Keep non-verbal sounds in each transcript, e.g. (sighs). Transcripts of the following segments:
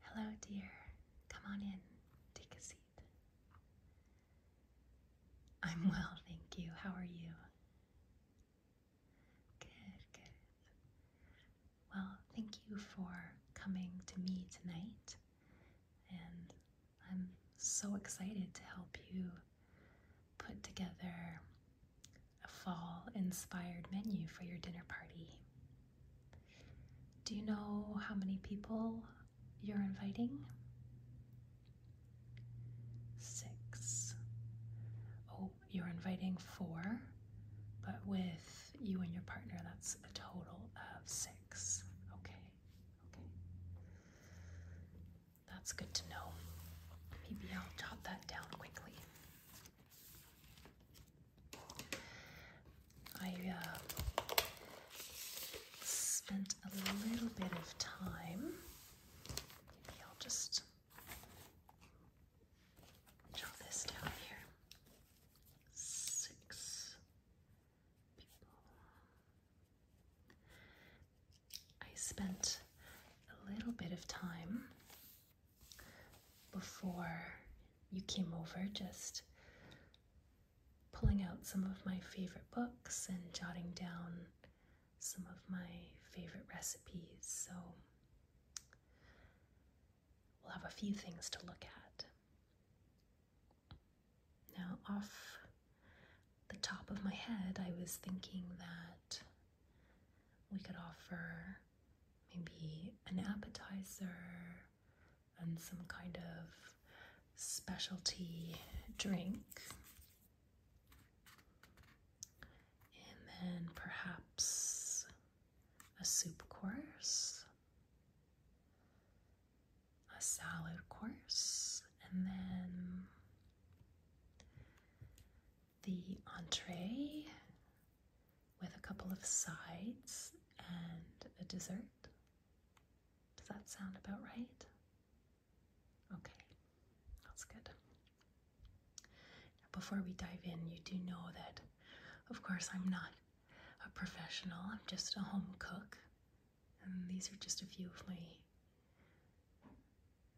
Hello, dear. Come on in. Take a seat. I'm well, thank you. How are you? Good, good. Well, thank you for coming to me tonight. And I'm so excited to help you put together a fall inspired menu for your dinner party. Do you know how many people you're inviting? Six. Oh, you're inviting four, but with you and your partner, that's a total of six. Okay, okay. That's good to know. Maybe I'll jot that down quickly. I uh, spent a little bit of time. I'll just draw this down here. Six people. I spent a little bit of time before you came over, just pulling out some of my favorite books and jotting down some of my favorite recipes. So we'll have a few things to look at. Now, off the top of my head, I was thinking that we could offer maybe an appetizer and some kind of specialty drink. And then perhaps a soup course, a salad course, and then the entree with a couple of sides and a dessert. Does that sound about right? Okay, that's good. before we dive in, you do know that, of course, I'm not a professional, I'm just a home cook. And these are just a few of my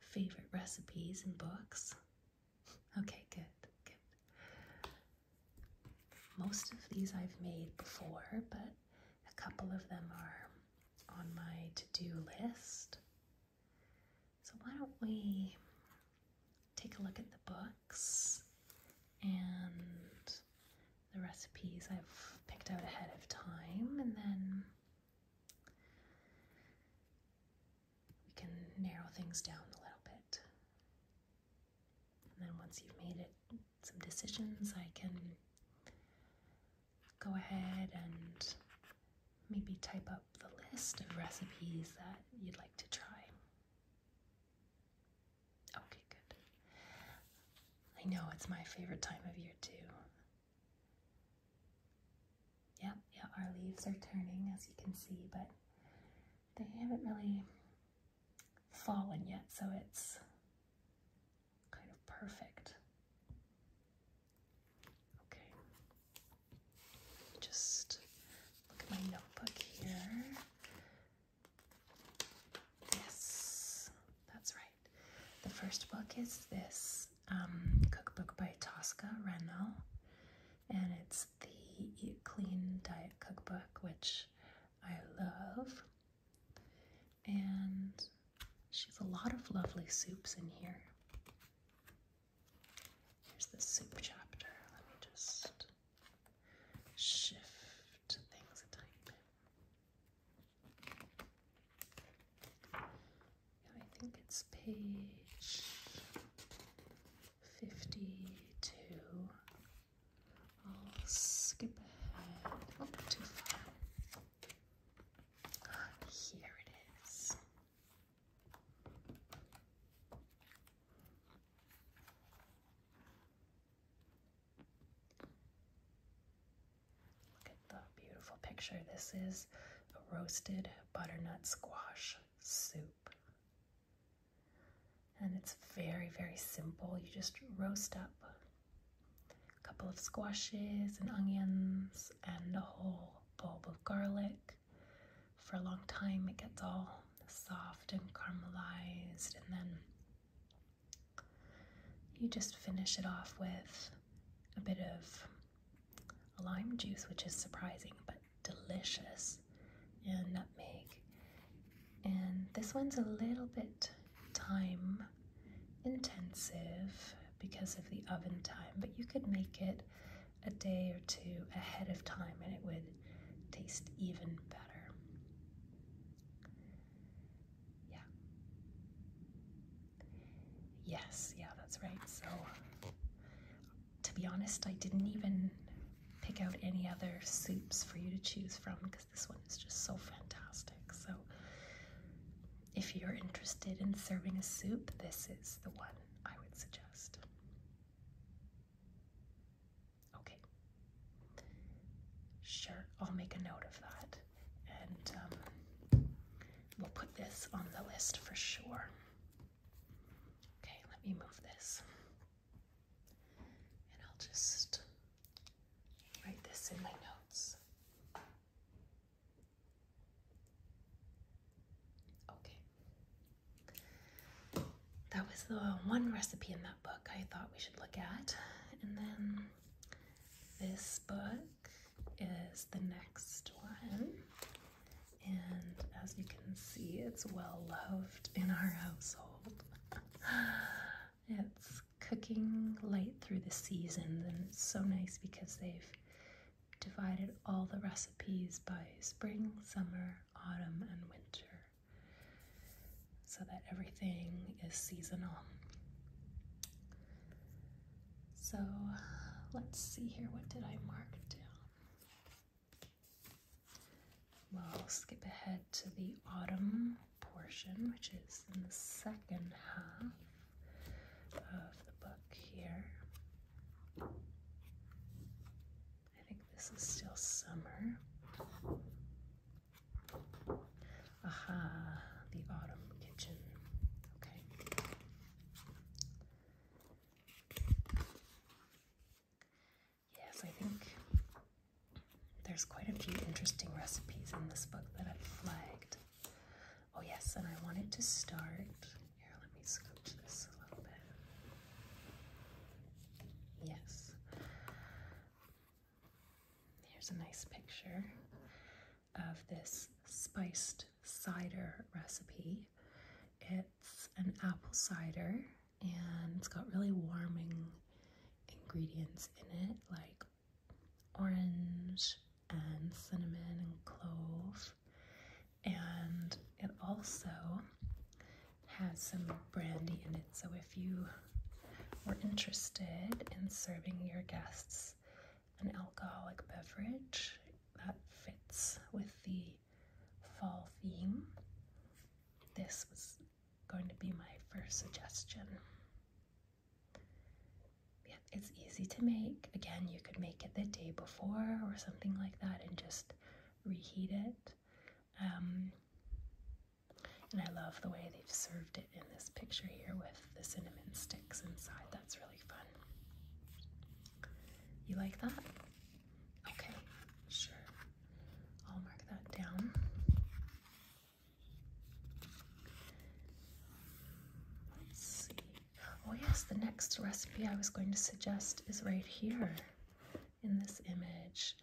favorite recipes and books. Okay, good, good. Most of these I've made before, but a couple of them are on my to-do list. So why don't we take a look at the books and the recipes I've picked out ahead of time and then we can narrow things down a little bit. And then once you've made it some decisions, I can go ahead and maybe type up the list of recipes that you'd like to try. Okay, good. I know it's my favorite time of year, too. Yep, yeah, our leaves are turning as you can see, but they haven't really fallen yet, so it's kind of perfect. Okay, just look at my notebook here. Yes, that's right. The first book is this um, cookbook by Tosca Rennell and it's the Eat Clean Diet Cookbook, which I love. And she has a lot of lovely soups in here. Here's the soup chapter. Let me just shift things a tiny Yeah, I think it's page 52. I'll skip ahead not too far. Here it is. Look at the beautiful picture. This is a roasted butternut squash soup. And it's very, very simple. You just roast up a couple of squashes and onions and a whole bulb of garlic. For a long time, it gets all soft and caramelized, and then you just finish it off with a bit of lime juice, which is surprising, but delicious and nutmeg. And this one's a little bit time intensive because of the oven time, but you could make it a day or two ahead of time and it would taste even better. Yeah. Yes, yeah, that's right. So to be honest, I didn't even pick out any other soups for you to choose from because this one is just so fantastic. So, if you're interested in serving a soup, this is the one I would suggest. Okay. Sure, I'll make a note of that. And um, we'll put this on the list for sure. Okay, let me move this. And I'll just write this in my notes. Okay. That was the one recipe in that book I thought we should look at. And then this book is the next one and as you can see, it's well loved in our household. (sighs) it's cooking late through the season, and it's so nice because they've divided all the recipes by spring, summer, autumn, and winter so that everything is seasonal. So let's see here. What did I mark down? We'll skip ahead to the autumn portion, which is in the second half of the book here. I think this is still summer. Aha, the autumn kitchen. Okay. Yes, I think there's quite a few interesting recipes in this book that I've flagged. Oh, yes, and I wanted to start. Here, let me scooch this a little bit. Yes. Here's a nice picture of this spiced cider recipe it's an apple cider and it's got really warming ingredients in it like orange and cinnamon and clove. And it also has some brandy in it. So if you were interested in serving your guests an alcoholic beverage that fits with the fall theme, this was going to be my first suggestion. Yeah, it's easy to make. Again, you could make it the day before or something like that and just reheat it. Um, and I love the way they've served it in this picture here with the cinnamon sticks inside. That's really fun. You like that? Okay, sure. I'll mark that down. Let's see. Oh, yes, the next recipe I was going to suggest is right here in this image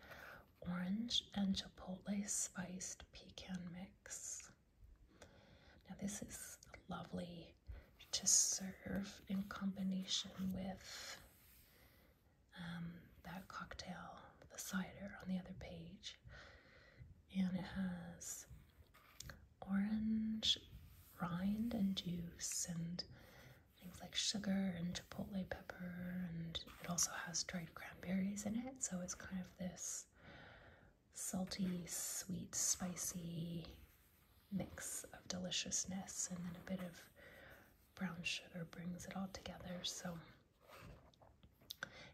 orange and chipotle spiced pecan mix. Now, this is lovely to serve in combination with um, that cocktail, the cider on the other page, and it has orange rind and juice and things like sugar and chipotle pepper, and it also has dried cranberries in it, so it's kind of this salty, sweet, spicy mix of deliciousness, and then a bit of brown sugar brings it all together. So,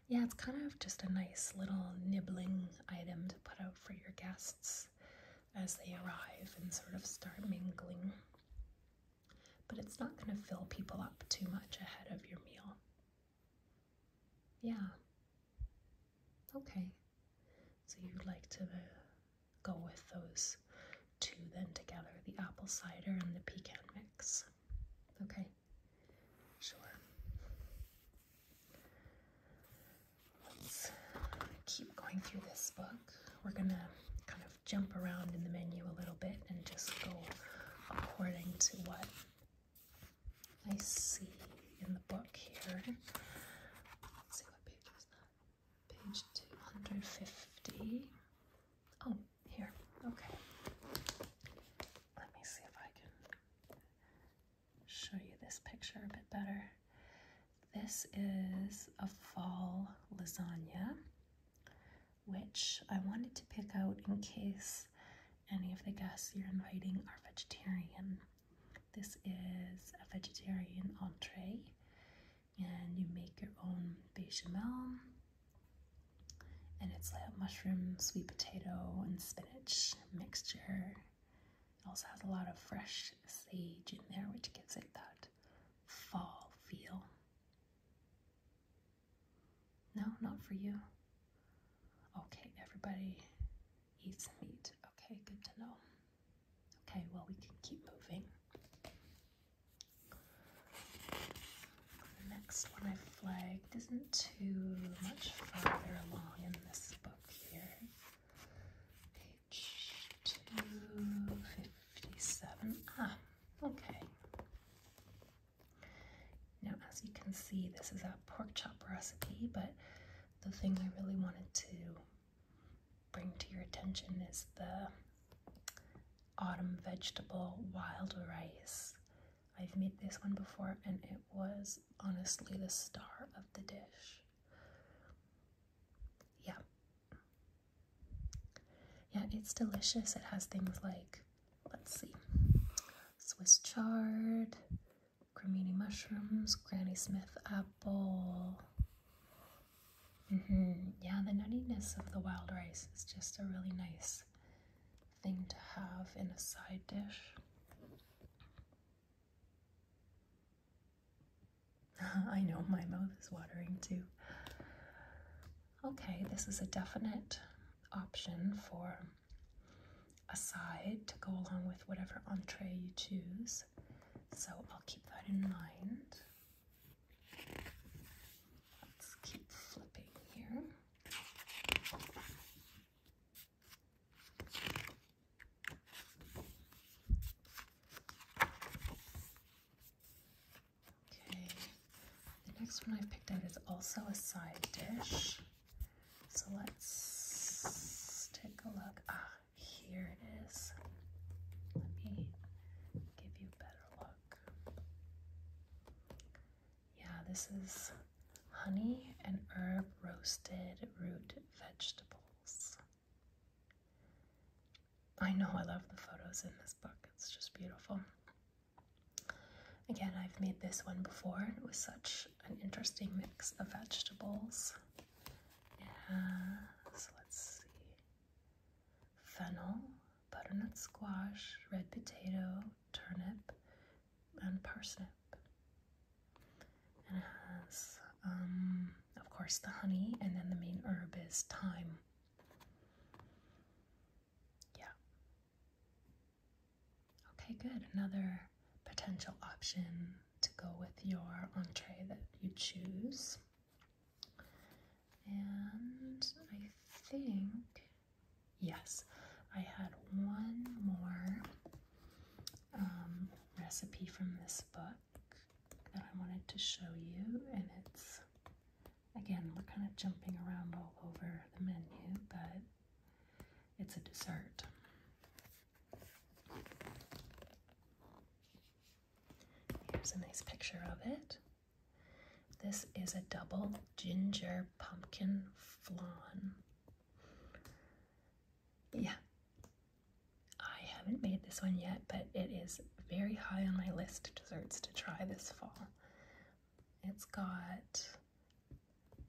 yeah, it's kind of just a nice little nibbling item to put out for your guests as they arrive and sort of start mingling. But it's not going to fill people up too much ahead of your meal. Yeah. Okay. So you'd like to go with those two then together, the apple cider and the pecan mix. Okay, sure. Let's keep going through this book. We're gonna kind of jump around in the menu a little bit and just go according to what I see in the book here. Let's see what page is that page 250. Oh, here. Okay. Let me see if I can show you this picture a bit better. This is a fall lasagna, which I wanted to pick out in case any of the guests you're inviting are vegetarian. This is a vegetarian entree and you make your own bechamel. And it's like a mushroom, sweet potato, and spinach mixture. It also has a lot of fresh sage in there, which gives it that fall feel. No, not for you. Okay, everybody eats meat. Okay, good to know. Okay, well, we can keep moving. The next one I flagged isn't too much farther along in this book here. Page 257. Ah, okay. Now, as you can see, this is a pork chop recipe, but the thing I really wanted to bring to your attention is the autumn vegetable wild rice. I've made this one before and it was honestly the star of the dish. Yeah. Yeah, it's delicious. It has things like, let's see, Swiss chard, cremini mushrooms, Granny Smith apple, Mm-hmm. Yeah, the nuttiness of the wild rice is just a really nice thing to have in a side dish. (laughs) I know my mouth is watering too. Okay, this is a definite option for a side to go along with whatever entree you choose. So I'll keep that in mind. Let's keep flipping here. Okay, the next one i picked out is also a side dish. So let's take a look. Ah, here it is. Let me give you a better look. Yeah, this is honey and herb roasted root vegetables. I know I love the photos in this book, it's just beautiful. Again, I've made this one before, it was such an interesting mix of vegetables. It has, let's see, fennel, butternut squash, red potato, turnip, and parsnip. And it has, um, of course, the honey, and then the main herb is thyme. Yeah. Okay, good. Another potential option to go with your entree that you choose. And I think, yes, I had one more um, recipe from this book that I wanted to show you. And it's, again, we're kind of jumping around all over the menu, but it's a dessert. Here's a nice picture of it. This is a double ginger pumpkin flan. Yeah, I haven't made this one yet, but it is very high on my list of desserts to try this fall. It's got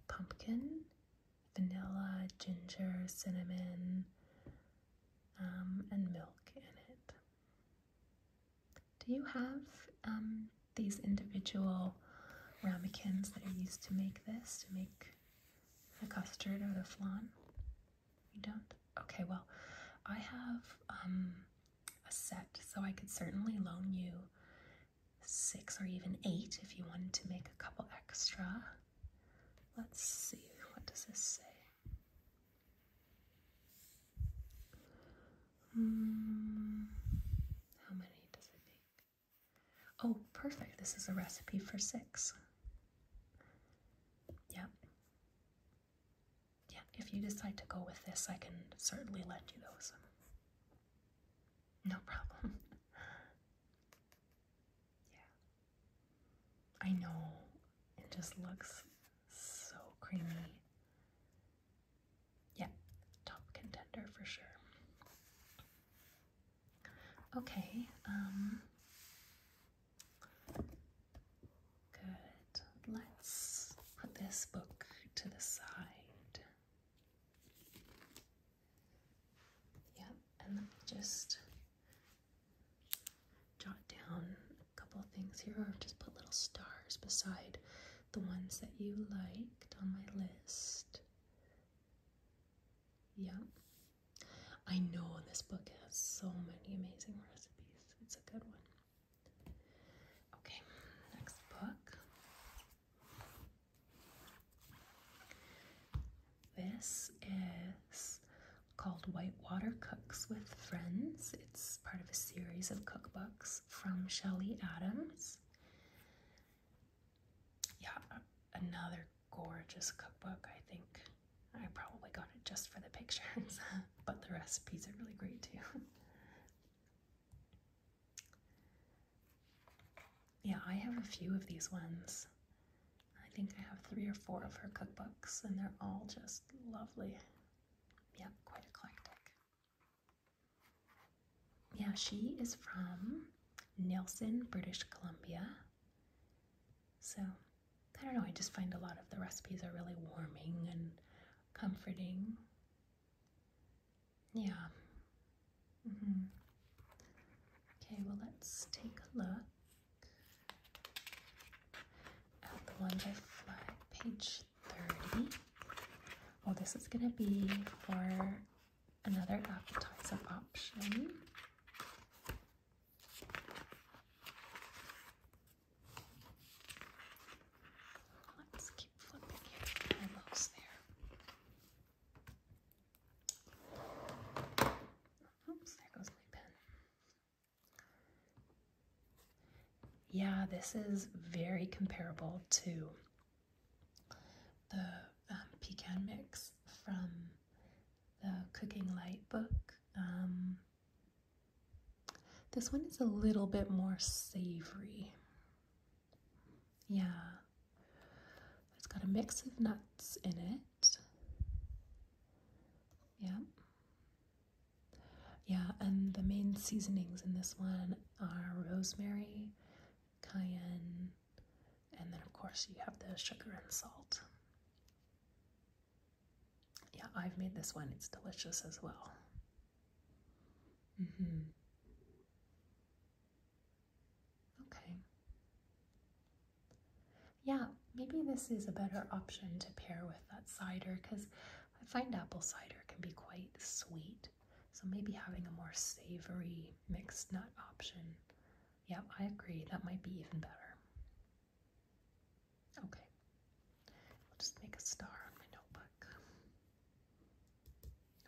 pumpkin, vanilla, ginger, cinnamon, um, and milk in it. Do you have um, these individual ramekins that are used to make this, to make the custard or the flan? You don't? Okay, well, I have um, a set, so I could certainly loan you six or even eight if you wanted to make a couple extra. Let's see, what does this say? Mm, how many does it make? Oh, perfect. This is a recipe for six. Yep. Yeah, if you decide to go with this, I can certainly lend you those. No problem. (laughs) yeah. I know it just looks so creamy. Yeah, top contender for sure. Okay, um, good. Let's put this book to the side. Yeah, and let me just jot down a couple things here or just put little stars beside the ones that you liked on my list. Yeah. I know this book has so many amazing recipes. It's a good one. Okay, next book. This is called Whitewater Cooks with Friends. It's part of a series of cookbooks from Shelley Adams. Yeah, another gorgeous cookbook, I think. I probably got it just for the pictures, (laughs) but the recipes are really great too. (laughs) yeah, I have a few of these ones. I think I have three or four of her cookbooks, and they're all just lovely. Yeah, quite eclectic. Yeah, she is from Nelson, British Columbia. So, I don't know, I just find a lot of the recipes are really warming and comforting. Yeah. Mm -hmm. Okay, well, let's take a look and the ones I flagged, page 30. Well, oh, this is going to be for another appetizer option. Let's keep flipping here. almost there. Oops, there goes my pen. Yeah, this is very comparable to the um, pecan mix from the Cooking Light book. Um, this one is a little bit more savory. Yeah, it's got a mix of nuts in it yeah. Yeah, and the main seasonings in this one are rosemary, cayenne, and then of course you have the sugar and salt. Yeah, I've made this one. It's delicious as well. Mm-hmm. Okay. Yeah, maybe this is a better option to pair with that cider because I find apple cider can be quite sweet. So maybe having a more savory mixed nut option. Yeah, I agree. That might be even better. Okay. I'll just make a star on my notebook.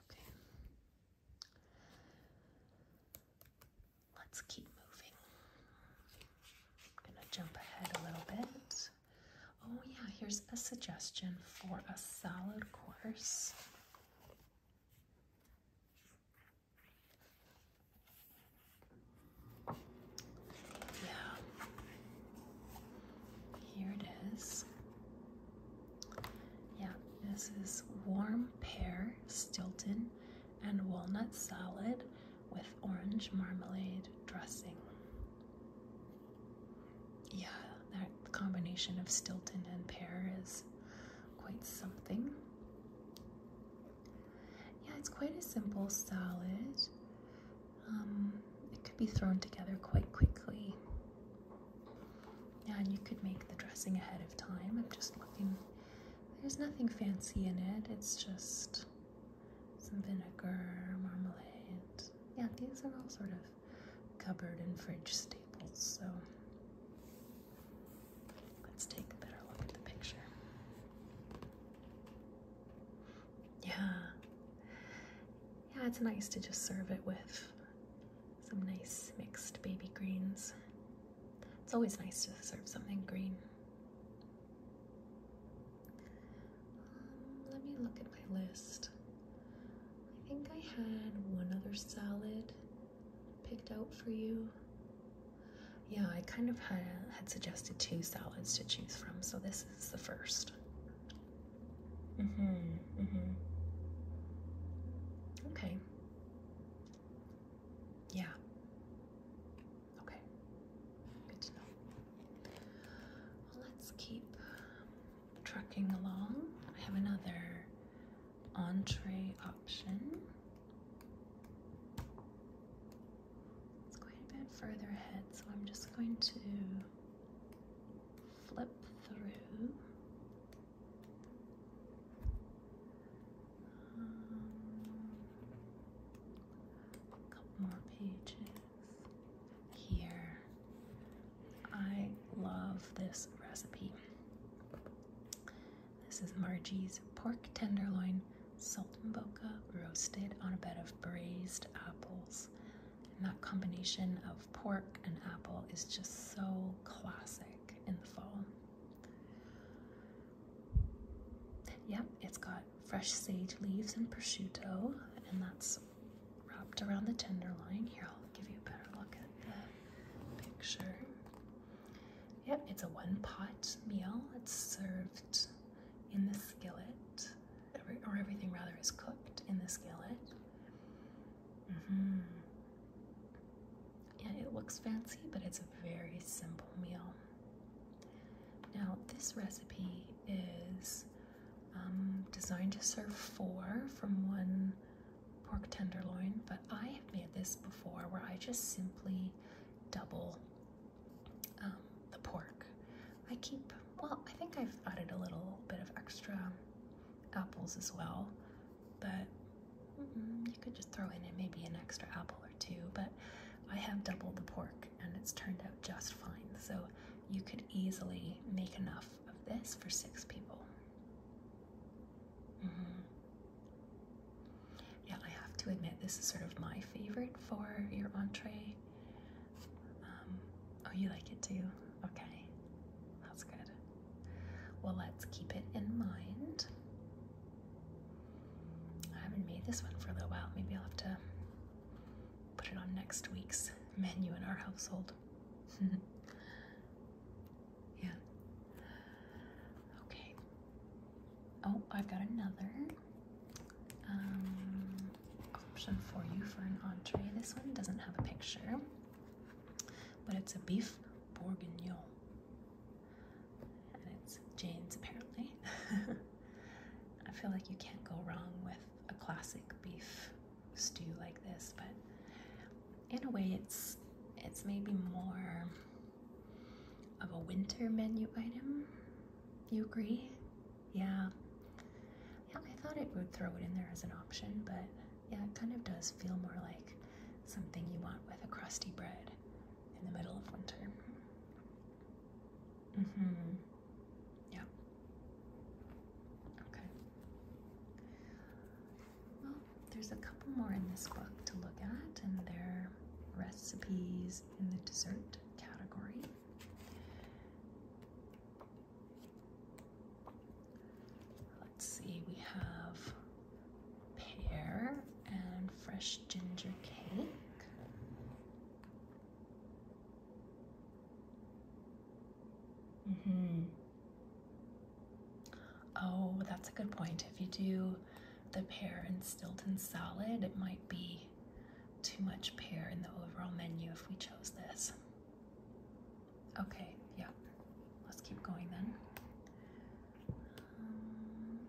Okay. Let's keep moving. I'm gonna jump ahead a little bit. Oh yeah, here's a suggestion for a solid course. Yeah, here it is. Yeah, this is warm pear Stilton and walnut salad with orange marmalade dressing. Yeah, that combination of Stilton and pear is quite something. Yeah, it's quite a simple salad. Um, it could be thrown together quite quickly. Yeah, and you could make the dressing ahead of time. I'm just looking. There's nothing fancy in it. It's just some vinegar, marmalade. Yeah, these are all sort of cupboard and fridge staples. So let's take a better look at the picture. Yeah. Yeah, it's nice to just serve it with some nice mixed baby greens. It's always nice to serve something green. Um, let me look at my list. I think I had one other salad picked out for you. Yeah, I kind of had, had suggested two salads to choose from, so this is the first. Mm-hmm, mm-hmm. Okay. Yeah. Okay, good to know. let's keep trucking along. I have another entree option. It's quite a bit further ahead, so I'm just going to flip through. Um, couple more pages here. I love this recipe. This is Margie's pork tenderloin sultan boca roasted on a bed of braised apples. And that combination of pork and apple is just so classic in the fall. Yep, it's got fresh sage leaves and prosciutto, and that's wrapped around the tenderloin. Here, I'll give you a better look at the picture. Yep, it's a one pot meal. It's served in the skillet, or everything rather is cooked in the skillet. Mm-hmm. Yeah, it looks fancy, but it's a very simple meal. Now, this recipe is um, designed to serve four from one pork tenderloin, but I have made this before where I just simply double um, the pork. I keep, well, I think I've added a little bit of extra apples as well, but you could just throw in maybe an extra apple or two, but I have doubled the pork and it's turned out just fine. So you could easily make enough of this for six people. Mm-hmm. Yeah, I have to admit, this is sort of my favorite for your entree. Um, oh, you like it too? Okay, that's good. Well, let's keep it in mind. I haven't made this one for a little while. Maybe I'll have to put it on next week's menu in our household. (laughs) yeah. Okay. Oh, I've got another um, option for you for an entree. This one doesn't have a picture, but it's a beef bourguignon. And it's Jane's apparently. (laughs) I feel like you can't go wrong with a classic beef stew like this, but in a way it's it's maybe more of a winter menu item. You agree? Yeah. Yeah, I thought it would throw it in there as an option, but yeah, it kind of does feel more like something you want with a crusty bread in the middle of winter. Mm-hmm. Yeah. Okay. Well, there's a couple more in this book to look at, and they're recipes in the dessert category. Let's see, we have pear and fresh ginger cake. Mm-hmm. Oh, that's a good point. If you do the pear and Stilton salad, it might be too much pear in the overall menu if we chose this. Okay, yeah. Let's keep going then. Um,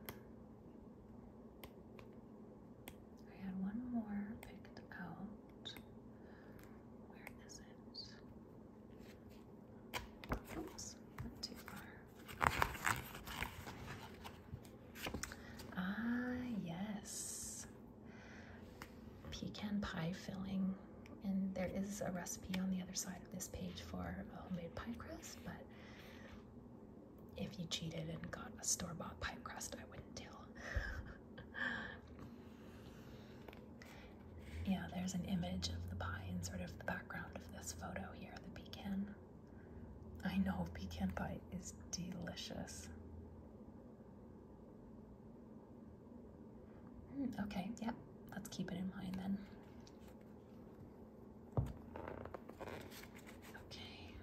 I had one more picked out. Where is it? Oops, not too far. Ah, yes. Pecan pie filling. And there is a recipe on the other side of this page for homemade pie crust, but if you cheated and got a store bought pie crust, I wouldn't tell. (laughs) yeah, there's an image of the pie in sort of the background of this photo here, the pecan. I know pecan pie is delicious. Hmm, okay, yep, let's keep it in mind then. Okay,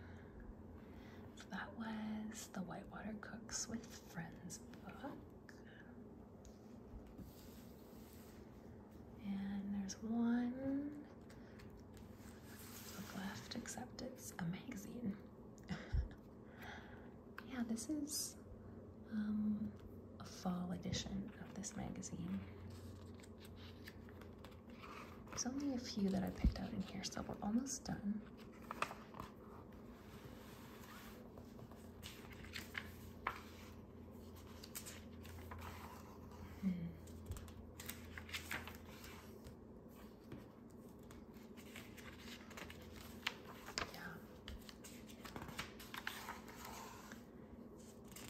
that was the Whitewater Cooks with Friends book. And there's one book left, except it's a magazine. (laughs) yeah, this is um, a fall edition of this magazine. There's only a few that I picked out in here, so we're almost done. Hmm.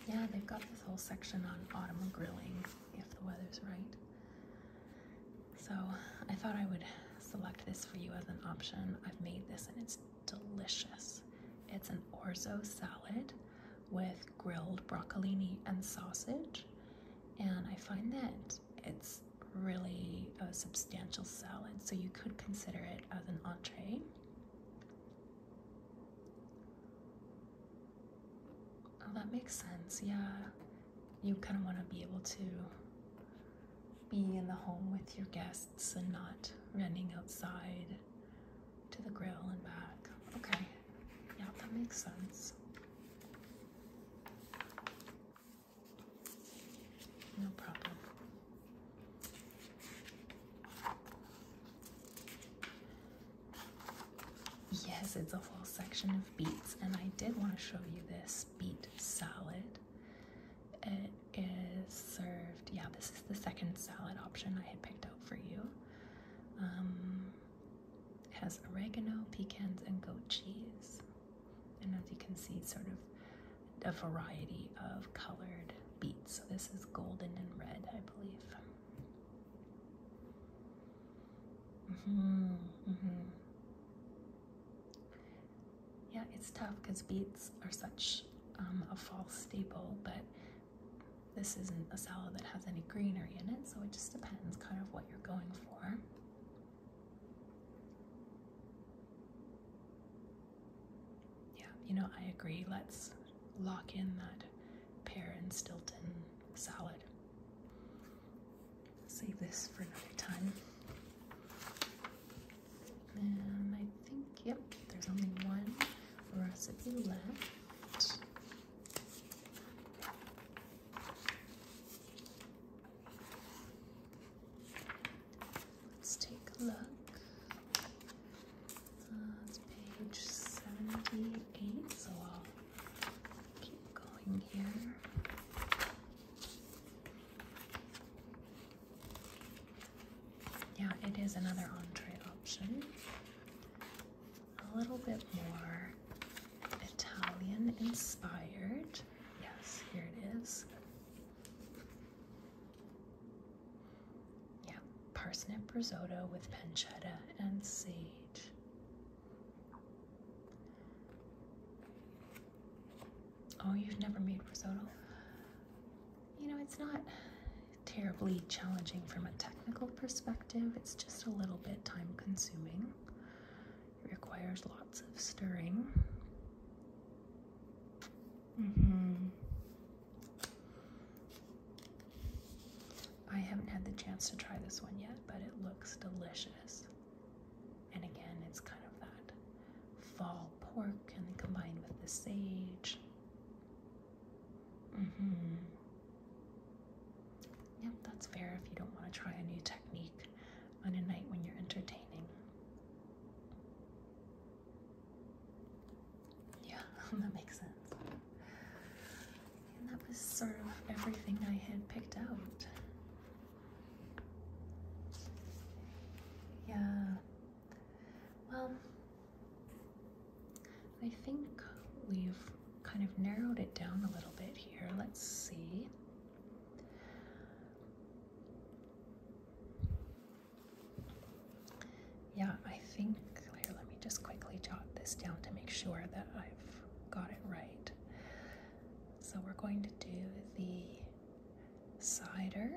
Yeah, they've got this whole section on autumn grilling if the weather's right. So I thought I would select this for you as an option. I've made this and it's delicious. It's an orzo salad with grilled broccolini and sausage. And I find that it's really a substantial salad, so you could consider it as an entree. Oh, That makes sense, yeah. You kind of want to be able to be in the home with your guests and not running outside to the grill and back. Okay, yeah, that makes sense. No problem. Yes, it's a whole section of beets, and I did want to show you this beet salad. It is served, yeah, this is the second salad option I had picked out for you. Um, has oregano, pecans, and goat cheese. And as you can see, sort of a variety of colored beets. So this is golden and red, I believe. Mm-hmm. Mm-hmm. Yeah, it's tough because beets are such um, a false staple, but this isn't a salad that has any greenery in it, so it just depends kind of what you're going for. Yeah, you know, I agree. Let's lock in that pear and Stilton salad. Save this for another time. And I think, yep, there's only one recipe left. Let's take a look. Uh, it's page 78, so yeah, it is another entree option. A little bit more Italian inspired. Yes, here it is. Yeah, parsnip risotto with pancetta and sage. Oh, you've never made risotto? You know, it's not terribly challenging from a technical perspective. It's just a little bit time consuming. It requires lots of stirring. Mm-hmm. I haven't had the chance to try this one yet, but it looks delicious. And again, it's kind of that fall pork and then combined with the sage. Mm-hmm. Yep, that's fair if you don't want to try a new technique on a night when you're entertaining. Yeah, (laughs) that makes sense that was sort of everything I had picked out. Yeah. Well, I think we've kind of narrowed it down a little bit here. Let's see. Yeah, I think, let me just quickly jot this down to make sure that I've got it right. So we're going to do the cider.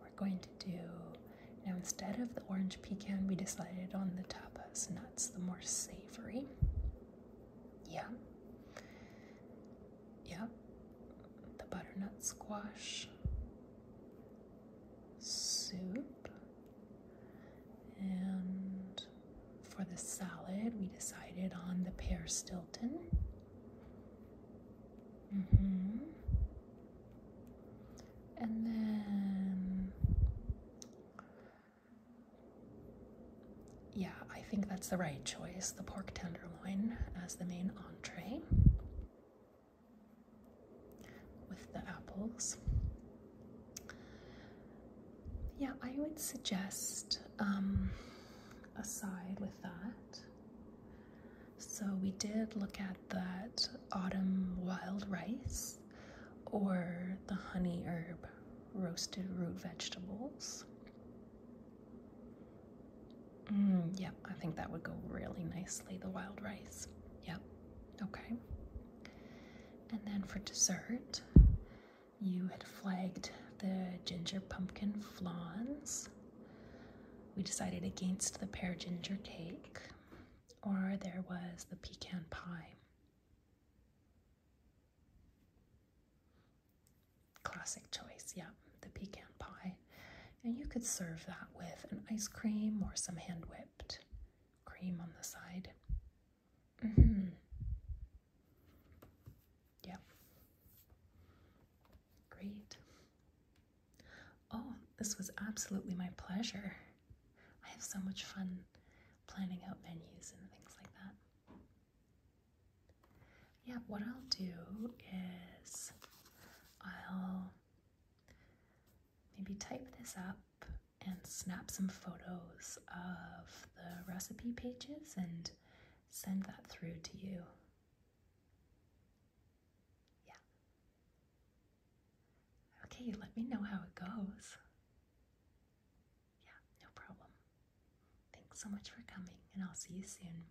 We're going to do, now instead of the orange pecan, we decided on the tapas nuts, the more savory. Yeah. Yeah. The butternut squash. Soup. And for the salad, we decided on the pear Stilton. Mm-hmm. And then, yeah, I think that's the right choice the pork tenderloin as the main entree with the apples. Yeah, I would suggest um, a side with that. So we did look at that autumn wild rice or the honey herb roasted root vegetables. Mm, yeah, I think that would go really nicely, the wild rice. Yep, yeah. okay. And then for dessert, you had flagged the ginger pumpkin flans. We decided against the pear ginger cake, or there was the pecan pie. Classic choice, yeah, the pecan pie. And you could serve that with an ice cream or some hand whipped cream on the side. Mm hmm Yeah. Great. Oh, this was absolutely my pleasure. I have so much fun planning out menus and things like that. Yeah, what I'll do is I'll maybe type this up and snap some photos of the recipe pages and send that through to you. Yeah. Okay, let me know how it goes. Yeah, no problem. Thanks so much for coming, and I'll see you soon.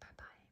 Bye bye.